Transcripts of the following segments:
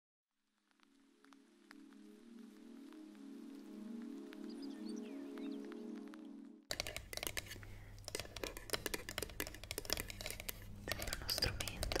Sembra uno strumento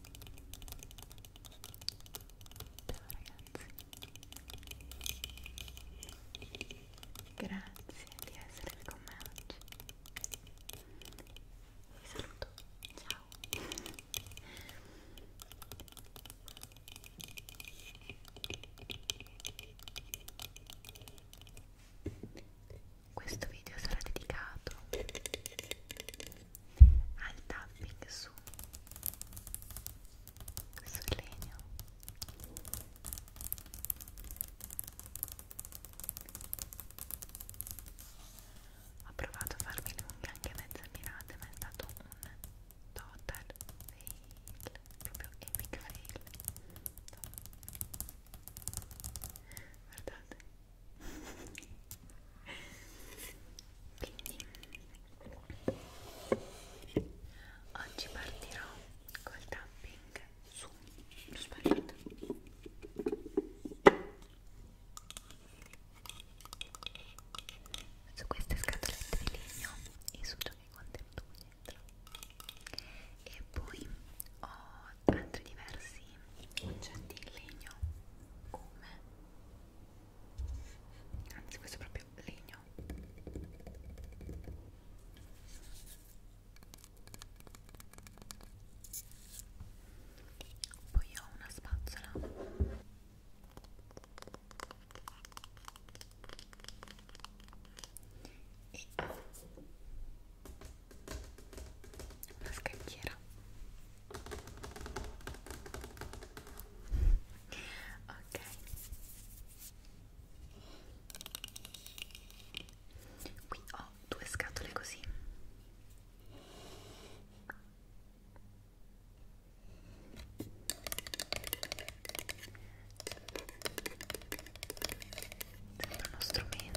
Ciao ragazzi, grazie di essere con me oggi. Vi saluto, ciao questo video sarà dedicato al tapping su sul legno ho provato a farmi le unghie anche mezze mirate ma è stato un total fail proprio epic fail guardate quindi oggi partirò col tapping su aspettate su queste scatolette di legno e su ciò che è contenuto dentro e poi ho altri diversi oggetti in legno come anzi questo è proprio legno poi ho una spazzola e una scacchiera ok qui ho due scatole così sembra uno strumento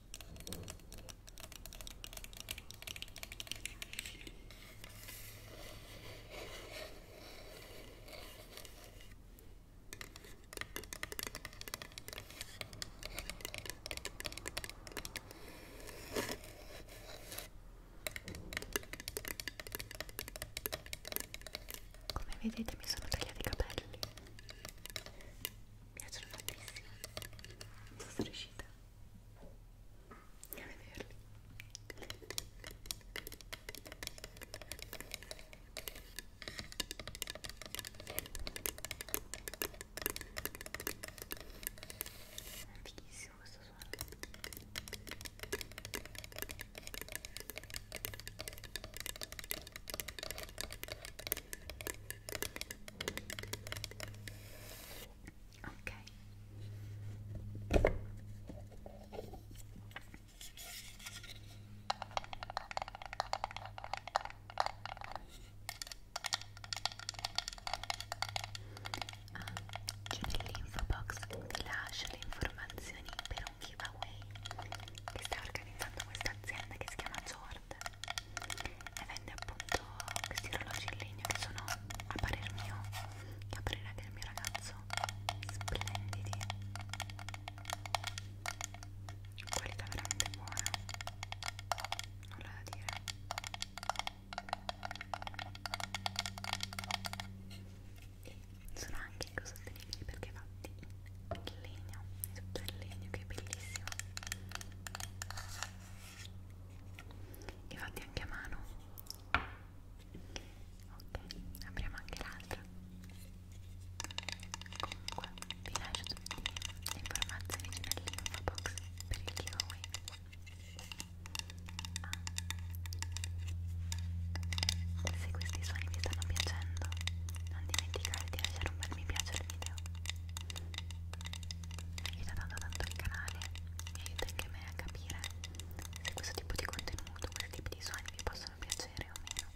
Come vedete mi sono tagliati i capelli piacciono tantissimo non sono riuscita a vederli antichissimo questo suono ok ah, c'è nell'info box ti lascio le informazioni per un giveaway che sta organizzando questa azienda che si chiama Jord e vende appunto questi orologi in legno che sono a parer mio e a parere anche del mio ragazzo splendidi qualità veramente buona nulla da dire e sono anche ecosostenibili perché fatti in legno, tutto il legno che è bellissimo e fatti anche a mano ok apriamo anche l'altra comunque vi lascio tutte le informazioni nell'info box per il giveaway ah. se questi suoni vi stanno piacendo non dimenticate di lasciare un bel mi piace al video aiuta tanto tanto il canale e aiuta anche me a capire se questo tipo di contenuto, questi tipi di suoni vi possono piacere o meno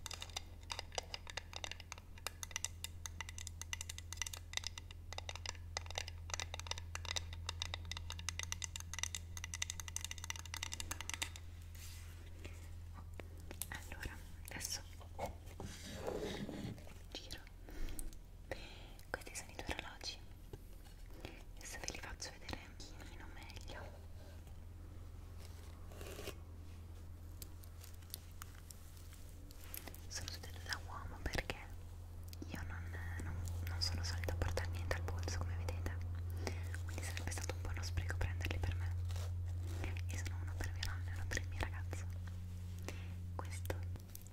allora adesso giro dentro questi sono i due orologi adesso ve li faccio vedere un pochino meglio sono tutti da uomo perché io non, non, non sono solita a portare niente al polso come vedete quindi sarebbe stato un po' uno spreco prenderli per me e sono uno per mio nonno e uno per il mio ragazzo questo questo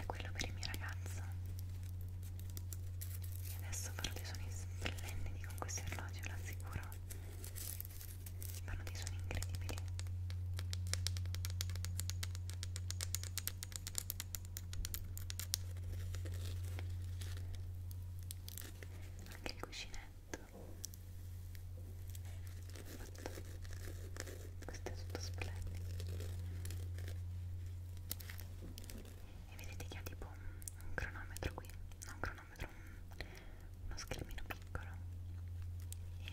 è quello per il mio ragazzo e adesso farò dei suoni splendidi con questi orologi, ve lo assicuro fanno dei suoni incredibili anche il cuscinetto fatto questo è tutto splendido e vedete che ha tipo un, un cronometro qui non un cronometro, un, uno schermino piccolo e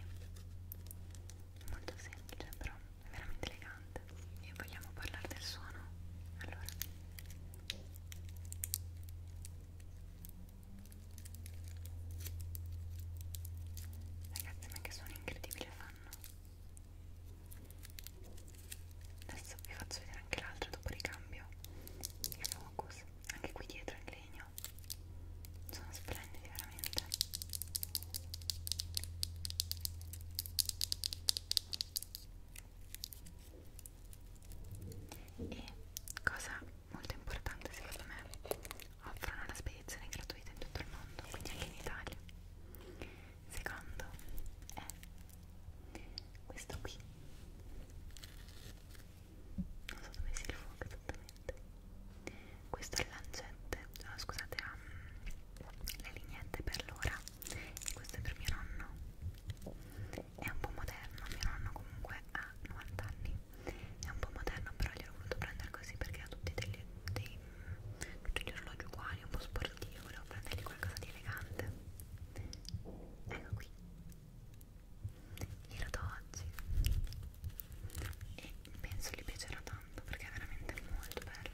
molto semplice però è veramente elegante e vogliamo parlare del suono? allora Ragazzi ma che suono incredibile fanno Adesso vi faccio vedere anche l'altro dopo ricambio Il focus Anche qui dietro in legno Sono splendidi veramente e cosa molto importante secondo me offrono la spedizione gratuita in tutto il mondo quindi anche in Italia secondo è questo qui non so dove sia il fuoco esattamente questo è lancette oh, scusate um, le lignette per l'ora e questo è per mio nonno è un po' moderno, mio nonno comunque ha 90 anni, è un po' moderno però gliel'ho voluto prendere così perché ha tutti, degli, dei, tutti gli orologi uguali, un po' sportivo, volevo prendergli qualcosa di elegante. Ecco qui, glielo do oggi e penso gli piacerà tanto perché è veramente molto bello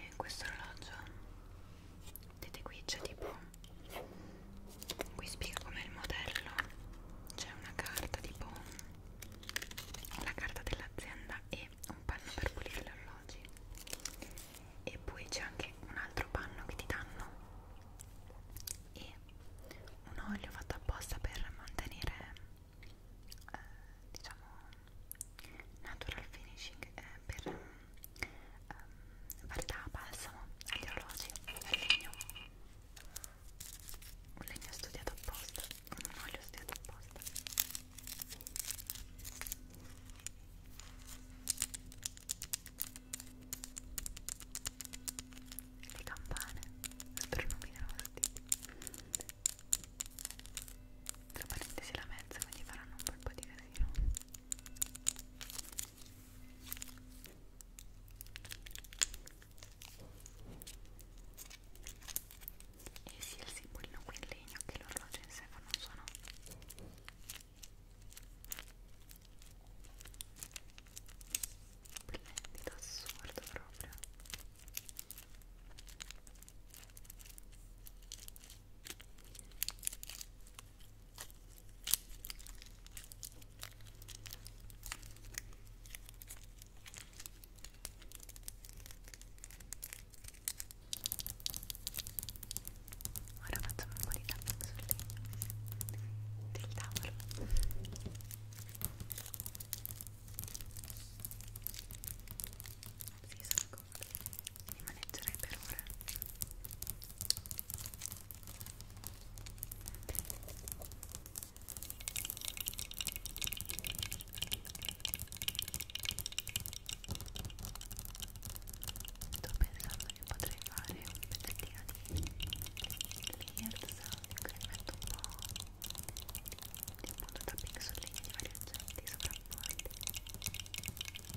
E questo orologio, vedete qui c'è tipo, qui spiega com'è il modello, c'è una carta tipo la carta dell'azienda e un panno per pulire gli orologi e poi c'è anche un altro panno che ti danno e un olio fatto apposta per mantenere eh, diciamo natural finishing eh, per eh, fare da balsamo agli orologi al legno un legno studiato apposta non li ho stesi apposta le campane astronominosti tra parentesi la mezza quindi faranno un bel po' di casino e sia il simbolino qui in legno che l'orologio in sé fanno un suono splendido, assurdo proprio Ora facciamo un po' di tapping del tavolo si sono comodi rimaneggerei per ora Sto pensando che potrei fare un pezzettino di layer sound in cui metto un po' di punto tapping sulle linee di vari oggetti sovrapposti. Sto pensando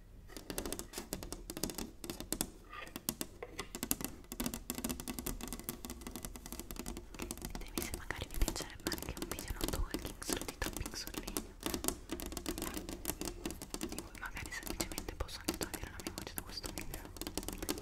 Ditemi se magari vi piacerebbe anche un video noto walking solo di tapping sul legno di cui magari semplicemente posso anche togliere la mia voce da questo video Bene,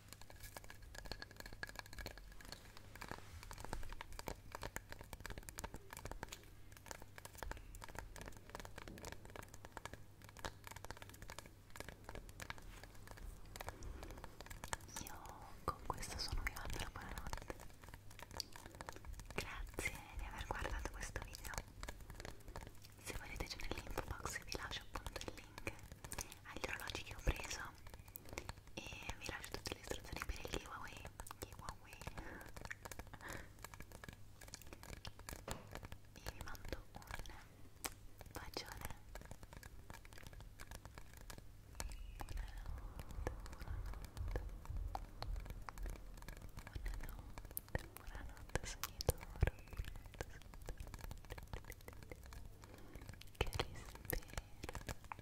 Io con questo sono arrivata alla buonanotte. Grazie di aver guardato questo video. Se volete c'è nell'info box vi lascio appunto il link agli orologi che ho preso e vi lascio tutte le istruzioni per il giveaway giveaway e vi mando un bacione buonanotte buonanotte buonanotte sognatore buonanotte che rispero